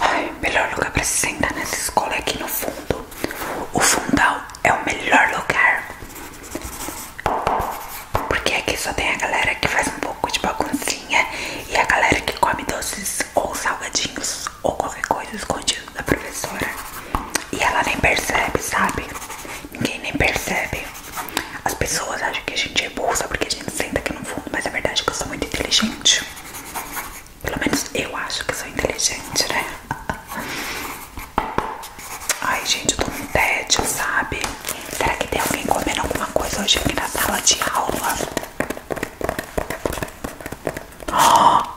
Ai, melhor lugar pra se sentar nessa escola é aqui no fundo. O fundão é o melhor lugar. Porque aqui só tem a galera que faz um pouco de baguncinha e a galera que come doces ou salgadinhos ou qualquer coisa escondido da professora. E ela nem percebe, sabe? ninguém nem percebe. As pessoas acham que a gente é burro porque a gente senta aqui no fundo, mas a é verdade é que eu sou muito inteligente. Pelo menos eu acho que sou inteligente, né? Ai, gente, eu tô num tédio, sabe? Será que tem alguém comendo alguma coisa hoje aqui na sala de aula? Oh!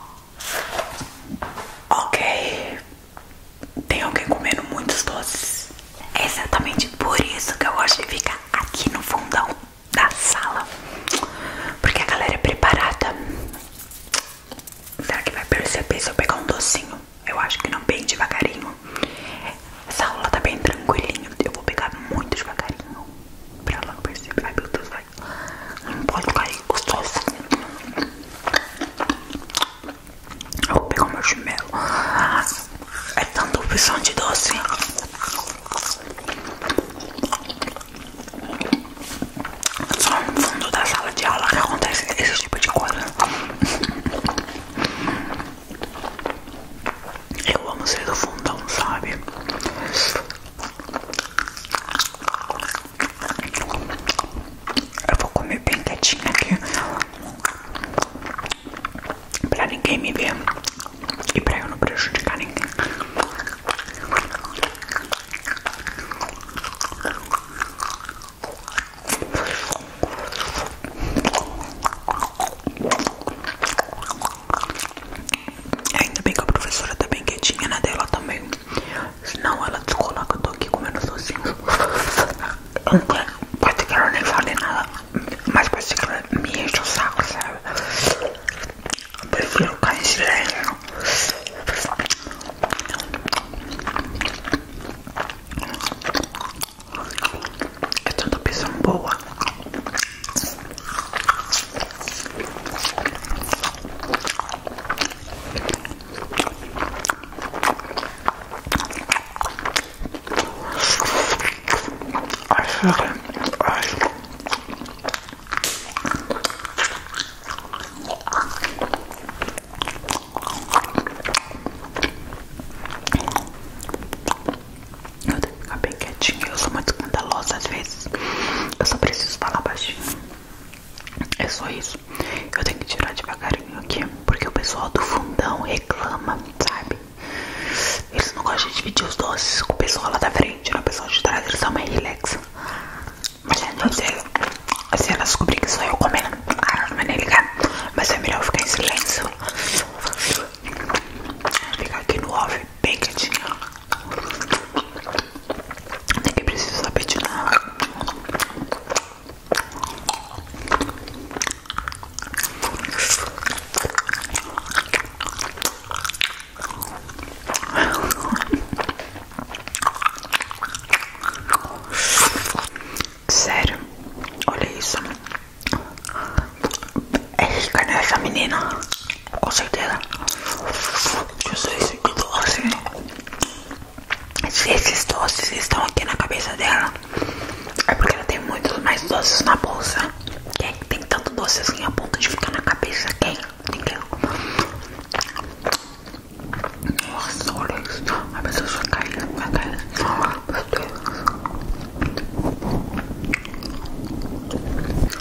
Ok, tem alguém comendo muitos doces. É exatamente por isso que eu gosto de ficar aqui no fundão da sala. Porque a galera é preparada. Será que vai perceber se eu pegar um docinho? Eu acho que não, bem devagarinho. Essa aula tá bem tranquilinho. Eu vou pegar muito devagarinho. Pra ela não perceber. Ai meu Deus, vai. Não pode cair gostoso. Eu vou pegar o meu chimelo. É tanta opção de doce. Só no fundo da sala de aula que acontece esse tipo de coisa. Eu amo ser do fundão, sabe? Eu vou comer bem quietinha aqui pra ninguém me ver e pra eu não prejudicar ninguém. Ainda bem que a professora tá bem quietinha na né, dela também. Senão ela descola que eu tô aqui comendo sozinho. Pode que ela nem fale nada, mas pode que ela me enche o saco, sabe? prefiro ficar em silêncio. É tanta opção boa. Eu tenho que ficar bem quietinha. Eu sou muito escandalosa às vezes. Eu só preciso falar baixinho. É só isso. Eu tenho que tirar devagarinho aqui, porque o pessoal do fundão reclama, sabe? Eles não gostam de dividir os doces com o pessoal lá da frente, né? O pessoal de trás, eles são mais relax. Mas é doceiro. Assim ela descobrir que sou eu comendo. Ah, não vai nem ligar. Mas é melhor ficar em silêncio. Ficar aqui no off bem quietinho. Nem que preciso saber de nada. Sério, olha isso. É rica, né, essa menina? com certeza. Jesus, que doce. Assim. Se esses doces estão aqui na cabeça dela, é porque ela tem muitos mais doces na bolsa. Quem tem tanto doce assim a ponto de ficar na cabeça? Quem? Ninguém. Nossa, olha isso. A pessoa só caiu, né? vai cair. Meu Deus.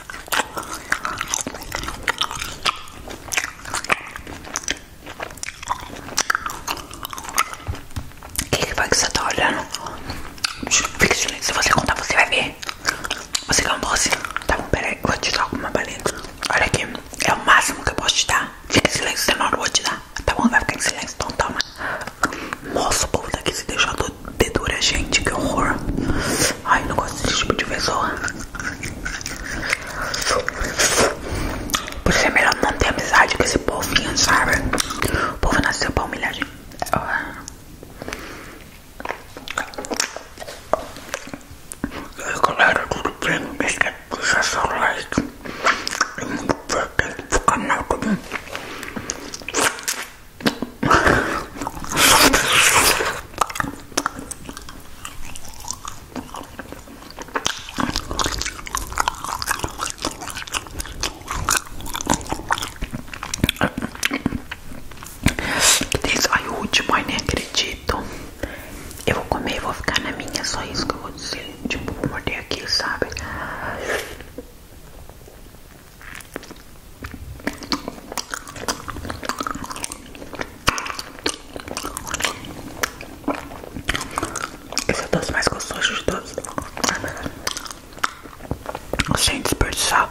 O que, que foi que você tá olhando? Fica silêncio, se você contar você vai ver Você é um doce? Tá bom, peraí, eu vou te dar alguma balinha Olha aqui, é o máximo que eu posso te dar Fique em silêncio, senão eu vou te dar Tá bom, vai ficar em silêncio, então toma nossa, o povo daqui tá se deixar dedura, é gente, que horror. Ai, não gosto desse tipo de pessoa. Por isso é melhor não ter amizade com esse povinho, sabe? O povo nasceu pra humilhar gente. E aí, galera, tudo bem? Não esquece de deixar seu like. E muito bem, aqui no canal também. Tá Ai, o último, ai, nem acredito. Eu vou comer, vou ficar na minha, só isso que eu vou dizer. Tipo, vou morder aqui, sabe? Esse é o doce mais gostoso de todos. Sem desperdiçar.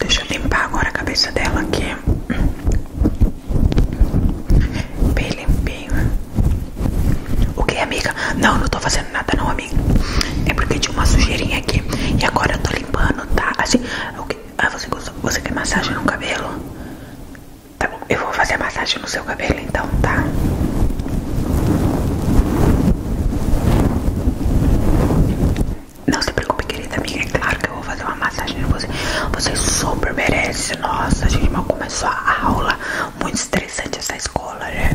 Deixa eu limpar agora a cabeça dela aqui. Bem limpinho. O que, amiga? Não, não tô fazendo nada não, amiga. É porque tinha uma sujeirinha aqui. E agora eu tô limpando, tá? Assim. Okay. Ah, você gostou? Você quer massagem no cabelo? Tá bom, eu vou fazer a massagem no seu cabelo então, tá? Não se preocupe, querida amiga. É claro que eu vou fazer uma massagem em você. Você super merece. Nossa, a gente mal começou a aula. Muito estressante essa escola, né?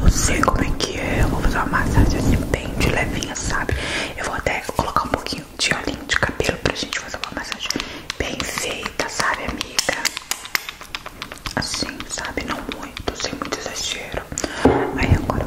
Eu sei como é que é. Eu vou fazer uma massagem assim, bem de levinha, sabe? Eu vou até colocar um pouquinho de olhinho de cabelo pra gente fazer uma massagem bem feita, sabe, amiga? Assim, sabe? Não muito, sem muito exagero. Aí agora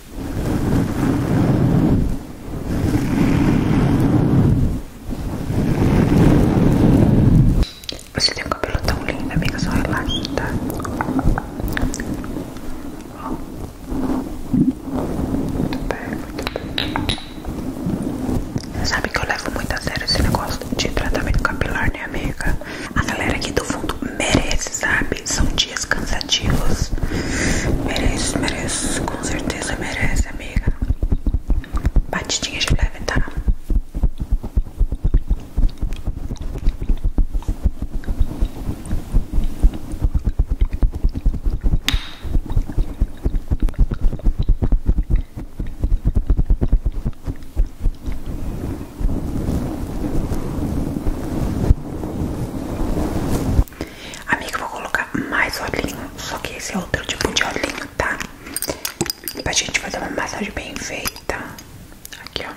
Você tem um cabelo tão lindo, amiga, só relaxa, tá? Muito bem, muito bem. Sabe que eu levo muito a sério esse negócio de tratamento capilar, né, amiga? A galera aqui do fundo merece, sabe? São dias cansativos. Mereço, mereço. Com certeza merece, amiga. Batidinha de leve, tá? Amiga, eu vou colocar mais olhinho, só que esse é outro tipo de olhinho, tá? Pra gente fazer uma massagem bem feita. Aqui, ó.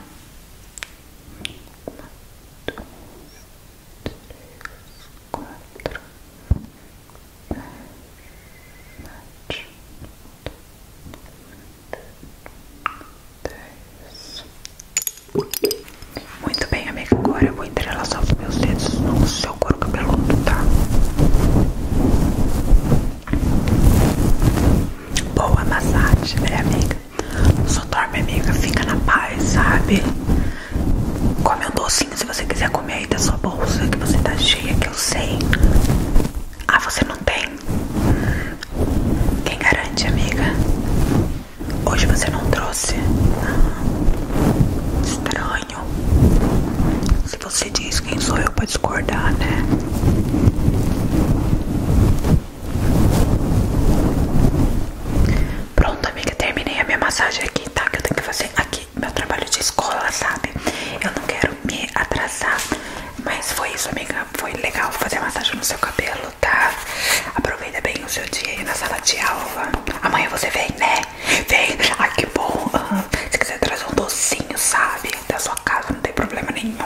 Um, dois, três, quatro, seis, sete, dez. Muito bem, amiga. Agora eu vou entrelaçar os meus dedos no seu couro cabeludo, tá? Boa massagem, minha né, amiga. Só dorme, amiga. Fica na paz, sabe? Come um docinho se você quiser comer aí da sua bolsa, que você tá cheia, que eu sei. Ah, você não tem? Quem garante, amiga? Hoje você não trouxe. Ah, estranho. Se você diz quem sou eu pra discordar, né? Pronto, amiga, terminei a minha massagem aqui, tá? Que eu tenho que fazer aqui meu trabalho de escola, sabe? Eu não quero me atrasar. Mas foi isso, amiga foi legal fazer massagem no seu cabelo, tá? Aproveita bem o seu dia aí na sala de aula. Amanhã você vem, né? Vem. Ai, que bom. Se quiser trazer um docinho, sabe? Da sua casa, não tem problema nenhum.